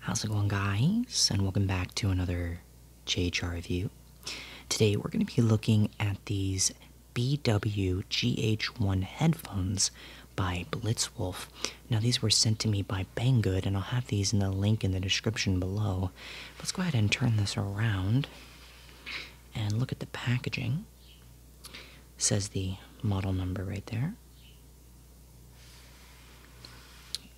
How's it going guys? And welcome back to another JHR review. Today we're going to be looking at these BWGH1 headphones by Blitzwolf. Now these were sent to me by Banggood and I'll have these in the link in the description below. Let's go ahead and turn this around and look at the packaging. Says the model number right there.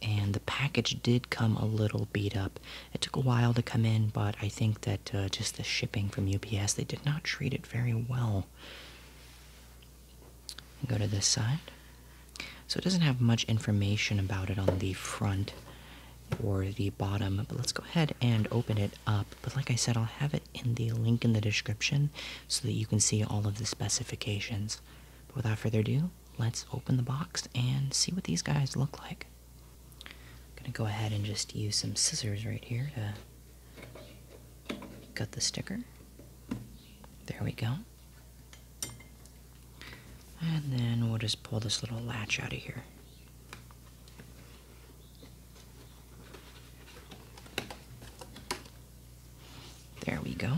And the package did come a little beat up. It took a while to come in, but I think that uh, just the shipping from UPS, they did not treat it very well. Go to this side. So it doesn't have much information about it on the front or the bottom, but let's go ahead and open it up. But like I said, I'll have it in the link in the description so that you can see all of the specifications. But without further ado, let's open the box and see what these guys look like. I'm gonna go ahead and just use some scissors right here to cut the sticker. There we go. And then we'll just pull this little latch out of here. There we go.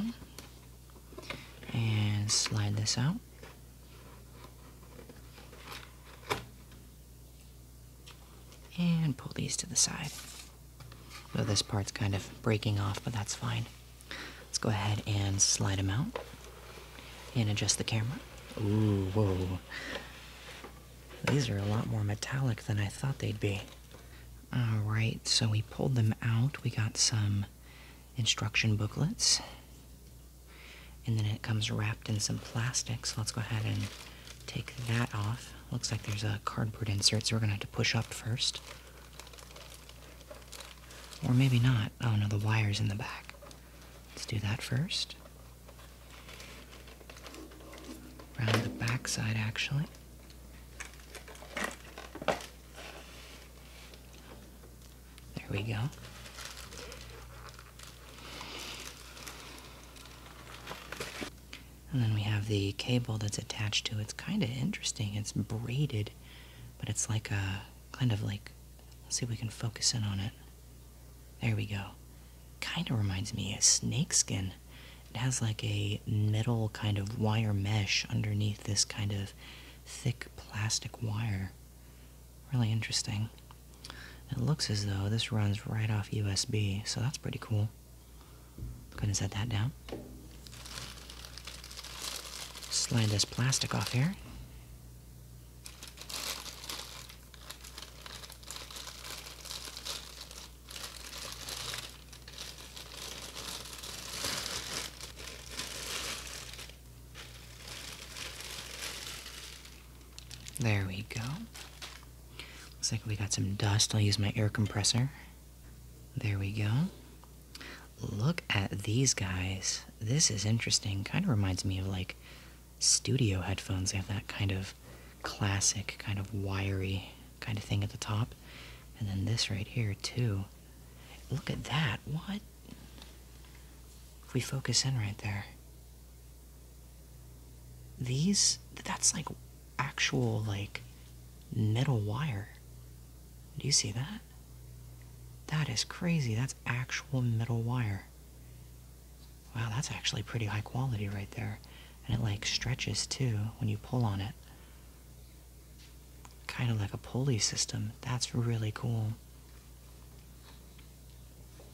And slide this out. And pull these to the side. Though this part's kind of breaking off, but that's fine. Let's go ahead and slide them out. And adjust the camera. Ooh, whoa. These are a lot more metallic than I thought they'd be. Alright, so we pulled them out. We got some instruction booklets. And then it comes wrapped in some plastic, so let's go ahead and take that off. Looks like there's a cardboard insert, so we're gonna have to push up first. Or maybe not. Oh no, the wire's in the back. Let's do that first. Around the back side, actually. There we go. And then we have the cable that's attached to it. It's kind of interesting. It's braided, but it's like a kind of like, let's see if we can focus in on it. There we go. Kind of reminds me of snakeskin. It has like a metal kind of wire mesh underneath this kind of thick plastic wire. Really interesting. It looks as though this runs right off USB, so that's pretty cool. Couldn't set that down. Slide this plastic off here. There we go. Looks like we got some dust. I'll use my air compressor. There we go. Look at these guys. This is interesting. Kind of reminds me of like studio headphones. They have that kind of classic, kind of wiry kind of thing at the top. And then this right here, too. Look at that. What? If we focus in right there. These, that's like actual, like, metal wire. Do you see that? That is crazy. That's actual metal wire. Wow, that's actually pretty high quality right there. And it like stretches too when you pull on it. Kind of like a pulley system. That's really cool.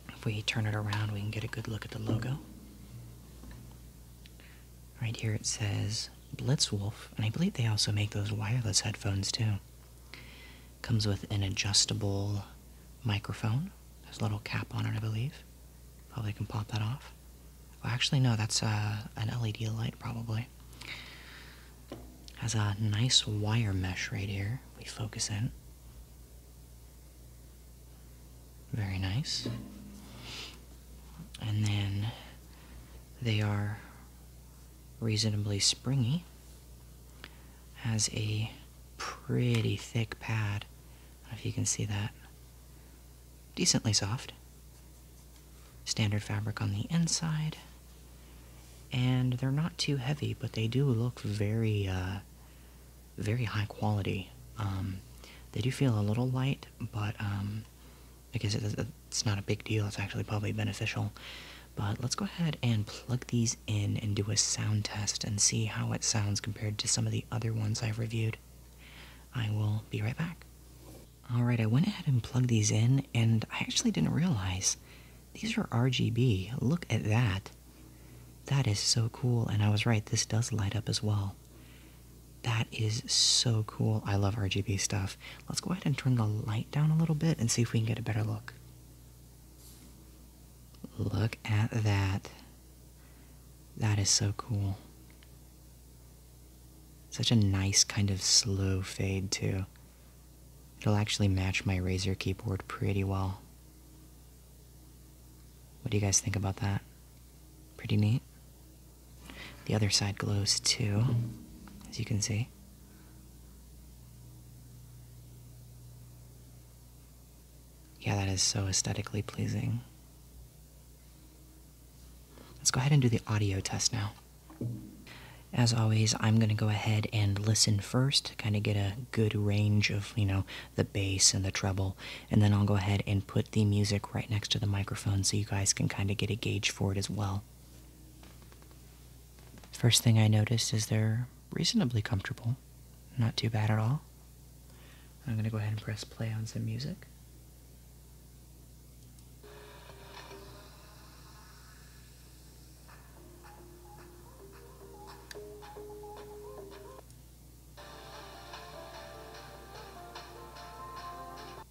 If we turn it around, we can get a good look at the logo. Right here it says Blitzwolf, and I believe they also make those wireless headphones too. Comes with an adjustable microphone. There's a little cap on it, I believe. Probably can pop that off. Oh, actually, no, that's uh, an LED light, probably. Has a nice wire mesh right here. We focus in. Very nice. And then they are reasonably springy has a pretty thick pad. if you can see that. Decently soft. Standard fabric on the inside. And they're not too heavy, but they do look very, uh, very high quality. Um, they do feel a little light, but um, because it's not a big deal, it's actually probably beneficial. But let's go ahead and plug these in and do a sound test and see how it sounds compared to some of the other ones I've reviewed. I will be right back. Alright, I went ahead and plugged these in, and I actually didn't realize these are RGB. Look at that. That is so cool, and I was right, this does light up as well. That is so cool. I love RGB stuff. Let's go ahead and turn the light down a little bit and see if we can get a better look. Look at that. That is so cool. Such a nice kind of slow fade too. It'll actually match my Razer keyboard pretty well. What do you guys think about that? Pretty neat. The other side glows too, as you can see. Yeah, that is so aesthetically pleasing. Let's go ahead and do the audio test now. As always, I'm going to go ahead and listen first, kind of get a good range of, you know, the bass and the treble, and then I'll go ahead and put the music right next to the microphone so you guys can kind of get a gauge for it as well. First thing I notice is they're reasonably comfortable, not too bad at all. I'm going to go ahead and press play on some music.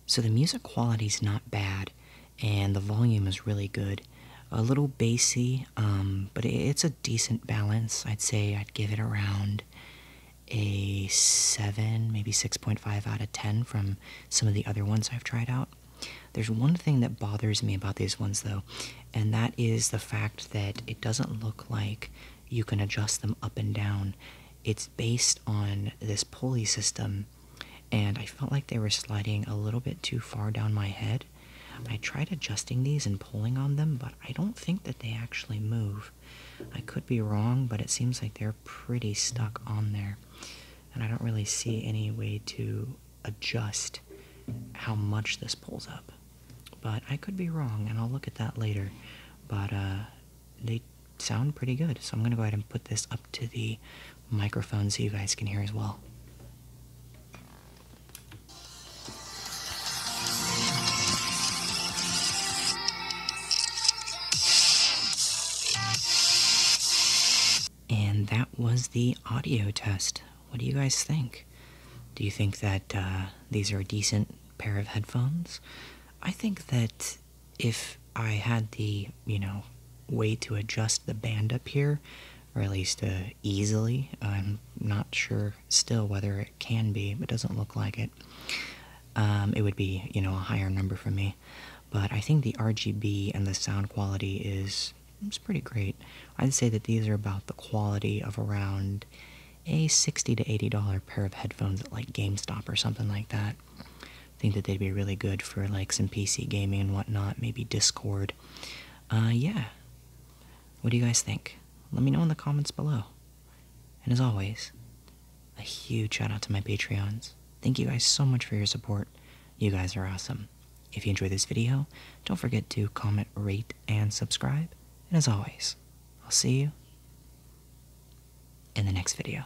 So the music quality is not bad and the volume is really good. A little bassy, um, but it's a decent balance. I'd say I'd give it around a 7, maybe 6.5 out of 10 from some of the other ones I've tried out. There's one thing that bothers me about these ones though, and that is the fact that it doesn't look like you can adjust them up and down. It's based on this pulley system and I felt like they were sliding a little bit too far down my head. I tried adjusting these and pulling on them, but I don't think that they actually move. I could be wrong, but it seems like they're pretty stuck on there. And I don't really see any way to adjust how much this pulls up. But I could be wrong, and I'll look at that later. But uh, they sound pretty good, so I'm going to go ahead and put this up to the microphone so you guys can hear as well. And that was the audio test. What do you guys think? Do you think that uh, these are a decent pair of headphones? I think that if I had the, you know, way to adjust the band up here, or at least uh, easily, I'm not sure still whether it can be, It doesn't look like it. Um, it would be, you know, a higher number for me. But I think the RGB and the sound quality is it's pretty great. I'd say that these are about the quality of around a 60 to $80 pair of headphones at like GameStop or something like that. I think that they'd be really good for like some PC gaming and whatnot, maybe Discord. Uh, yeah. What do you guys think? Let me know in the comments below. And as always, a huge shout out to my Patreons. Thank you guys so much for your support. You guys are awesome. If you enjoyed this video, don't forget to comment, rate, and subscribe. And as always, I'll see you in the next video.